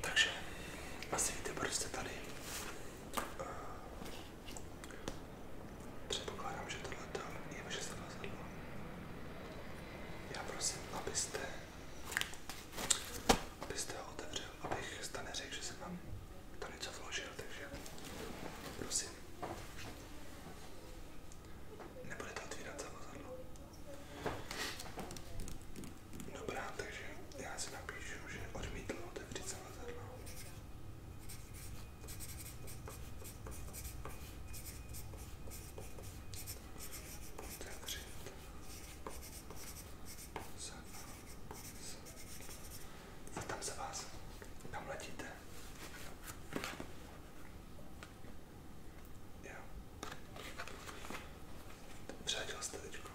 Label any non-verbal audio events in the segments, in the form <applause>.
Takže asi víte, proč jste tady. Eh, předpokládám, že tohle je vaše zavazadlo. Já prosím, abyste, abyste ho otevřel, abych jste neřekl, že jsem vám to něco vložil, takže prosím. Nebudete otvírat zavazadlo. Dobrá, takže já si napíšu, že odmítl otevřít zavazadlo. Otevřít zavazadlo. A tam se vás, tam letíte. Jo. Přeletěl jste teďko.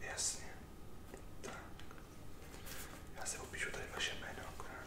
Jasně. Tak. Já si opíšu tady vaše jméno akorát.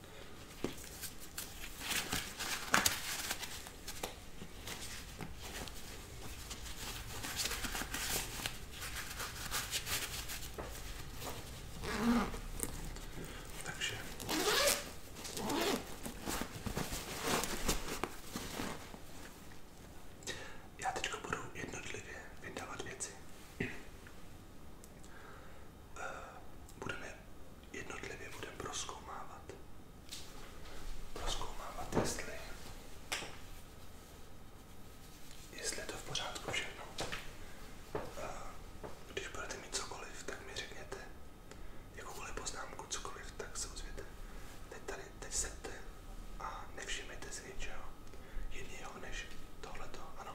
Takže já teď budu jednotlivě vydávat věci. <clears throat> Eh, Budeme jednotlivě budeme proskoumávat. Proskoumávat, jestli, jestli je to v pořádku všechno. A když budete mít cokoliv, tak mi řekněte jakoukoliv poznámku, cokoliv, tak se ozvěte. Teď tady, teď sedte a nevšimněte si ničeho jiného než tohleto, ano.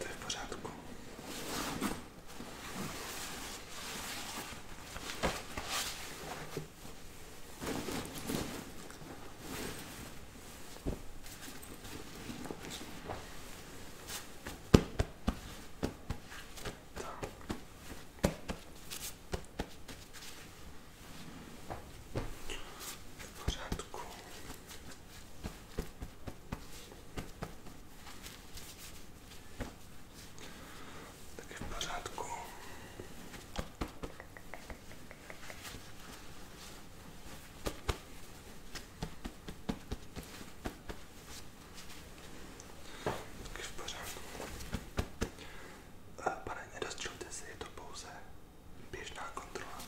To w porządku. W porządku. Taky v pořádku. Taky v pořádku. Eh, pane, nedostřelte si, je to pouze běžná kontrola.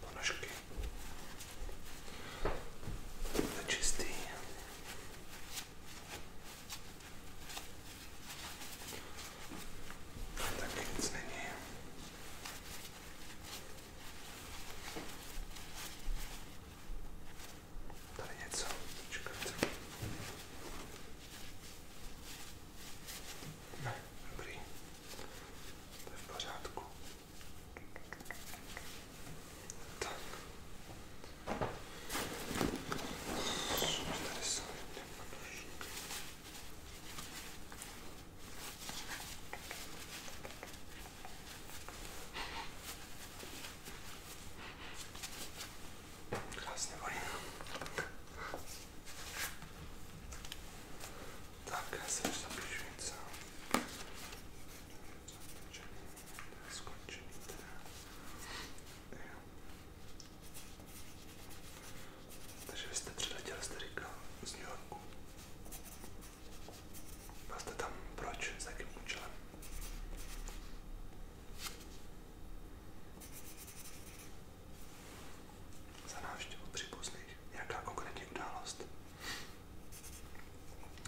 Ponožky. To čistý. No, Taky nic není. Tady něco. Počkat. Ne, dobrý. To je v pořádku. Tak. Tady jsou Krásně voní. Tak, já se už zapíšu něco. Skončený teda. Jo. Takže vy jste přiletěl, jste říkal, z New Yorku. Byl jste tam proč? S jakým účelem? Za návštěvu příbuzných. Jaká konkrétní událost?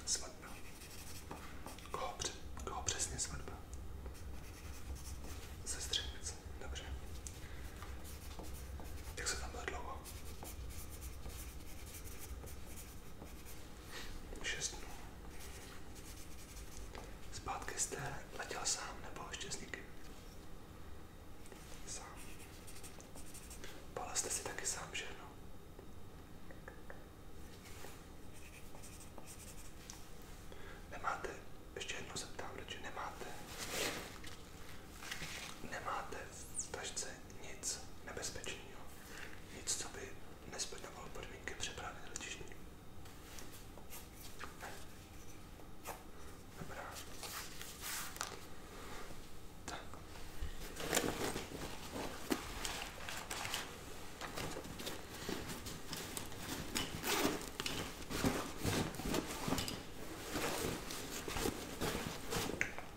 Svatba. Koho, při, koho přesně svatba? Sestřenice. Dobře. Jak se tam bylo dlouho? 6 dnů. Zpátky jste letěl sám nebo ještě s někým? Sám. Pala jste si taky sám, že no? Nemáte, ještě jednou se ptám, že nemáte, nemáte v tašce nic nebezpečného. Nic, co by nesplňovalo podmínky přepravy letištní. Ne. Dobrá. Tak.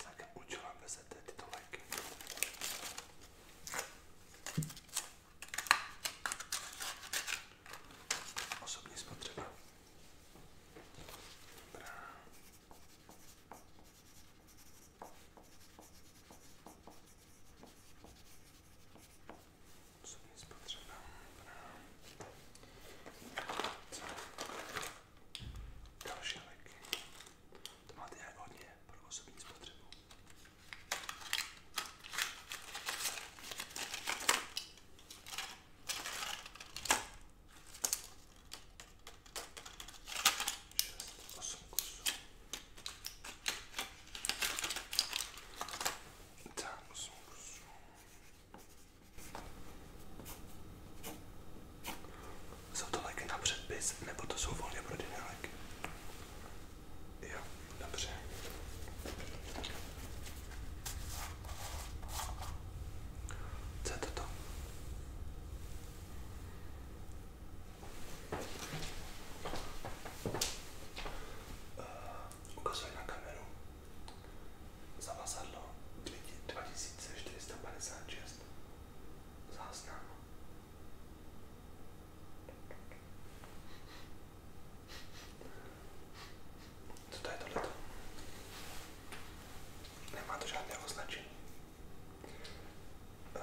Za jakým účelem vezete tyto léky? Osobní spotřeba. Dobrá. Osobní spotřeba. Dobrá. Co? Další léky. To máte jak hodně pro osobní spotřebu. Šest, osm kusů. Tam osm kusů. Jsou to léky na předpis, nebo to jsou volně prodejné léky? Jo, dobře. Co je toto? Uh, eh, Ukazuj na kameru. Zavazadlo 2456 záznam. Co to je tohleto? Nemá to žádné označení. Uh.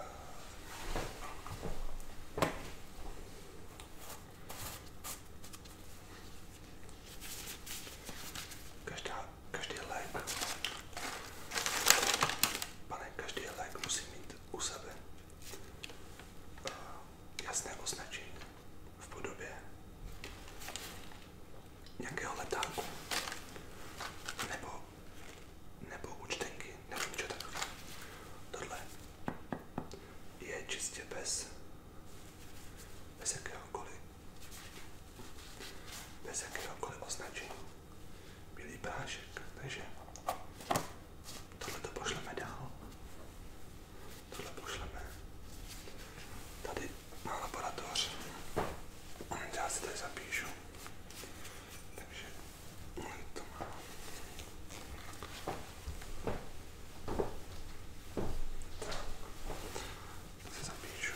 Každá každý lék, pane, každý lék musí mít u sebe eh, jasné označení v podobě nějakého letáku nebo, nebo účtenky, nebo něco takového. Tohle je čistě bez, bez jakéhokoliv bez jakéhokoliv označení. Bílý prášek, takže tohle to pošleme dál. Tohle pošleme. Tady má laboratoř. Já si tady zapíšu. Takže to má. Tak. To si zapíšu.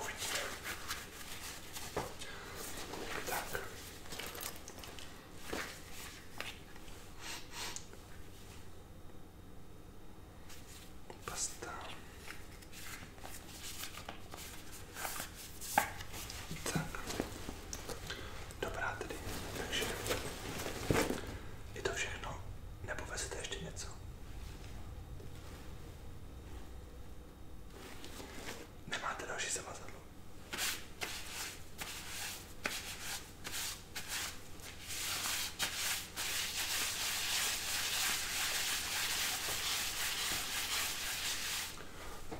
Uvidíme. Tak. Pasta. Tak. Dobrá tedy. Takže je to všechno. Nebo vezete ještě něco? Nemáte další zamazadlo.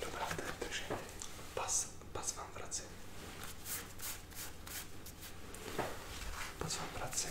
Dobrá, takže pas, pas vám vracím. Pas vám vracím.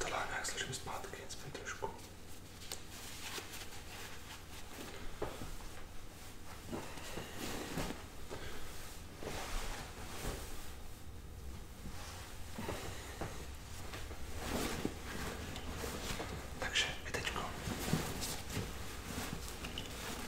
Ta lána, jak složím zpátky, spím trošku. Takže vy teďko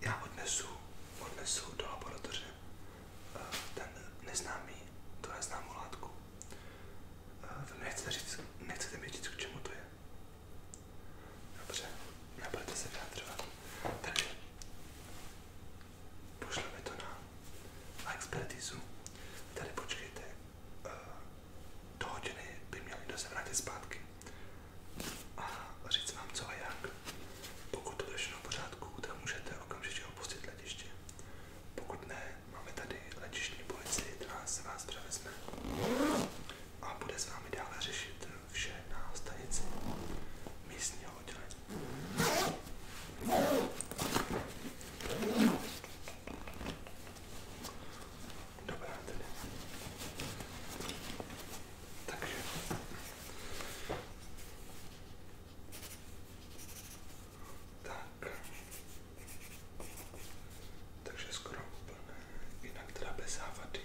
já odnesu, odnesu do laboratoře eh, ten neznámý, tu neznámou látku. Eh, vy nechcete, říct, nechcete mi říct, k čemu to je. Dobře, nebudete se vyjadřovat. Takže pošleme to na expertizu. Tady počkejte, eh, do hodiny by měli zpátky a říct vám co a jak. Pokud to bude všechno v pořádku, tak můžete okamžitě opustit letiště. Pokud ne, máme tady letištní policii, která se vás převezme a bude s vámi dále řešit vše na stanici místního oddělení. Dobrá tedy. Takže tak. Takže skoro úplné, jinak teda bez závady.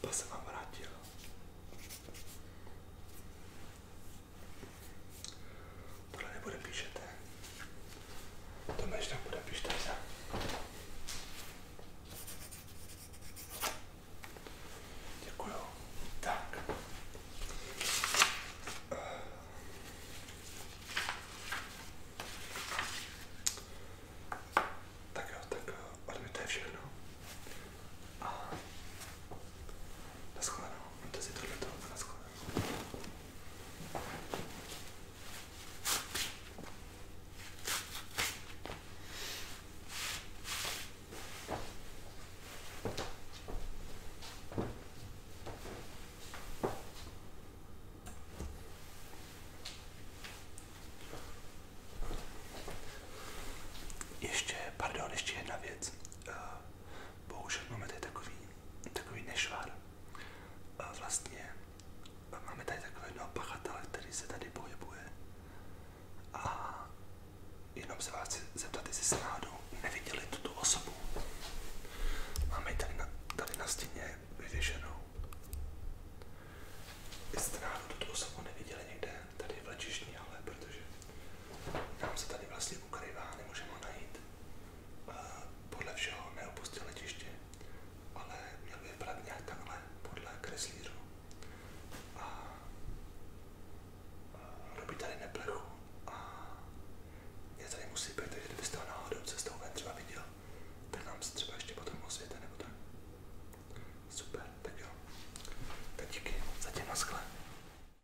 Pas se vám vrátil. Tohle nebude píšete. To ještě tam bude píšte se. Děkuju. Tak. Tak jo, tak eh, ode mě to je všechno. A Naschledanou. Máte si tohleto a naschledanou. Ještě, pardon, ještě jedna věc. Eh, bohužel máme tady takový takový nešvar. A vlastně máme tady takového jednoho pachatele, který se tady pohybuje. A jenom se vás chci zeptat, jestli se náhodou neviděli tuto osobu. Máme ji tady na, tady na stěně vyvěšenou. Jestli jste náhodou tuto osobu neviděli někde, tady v lečišní ale protože nám se tady vlastně ukrývá, nemůžeme ho najít. Podle všeho neopustil letiště, ale měl by vypadat nějak takhle podle kreslířů. A robí tady neplechu a je tady musí být, takže kdybyste ho náhodou cestou ven třeba viděl, tak nám se třeba ještě potom osvěte nebo tak. Super, tak jo. Tak díky, zatím na skle.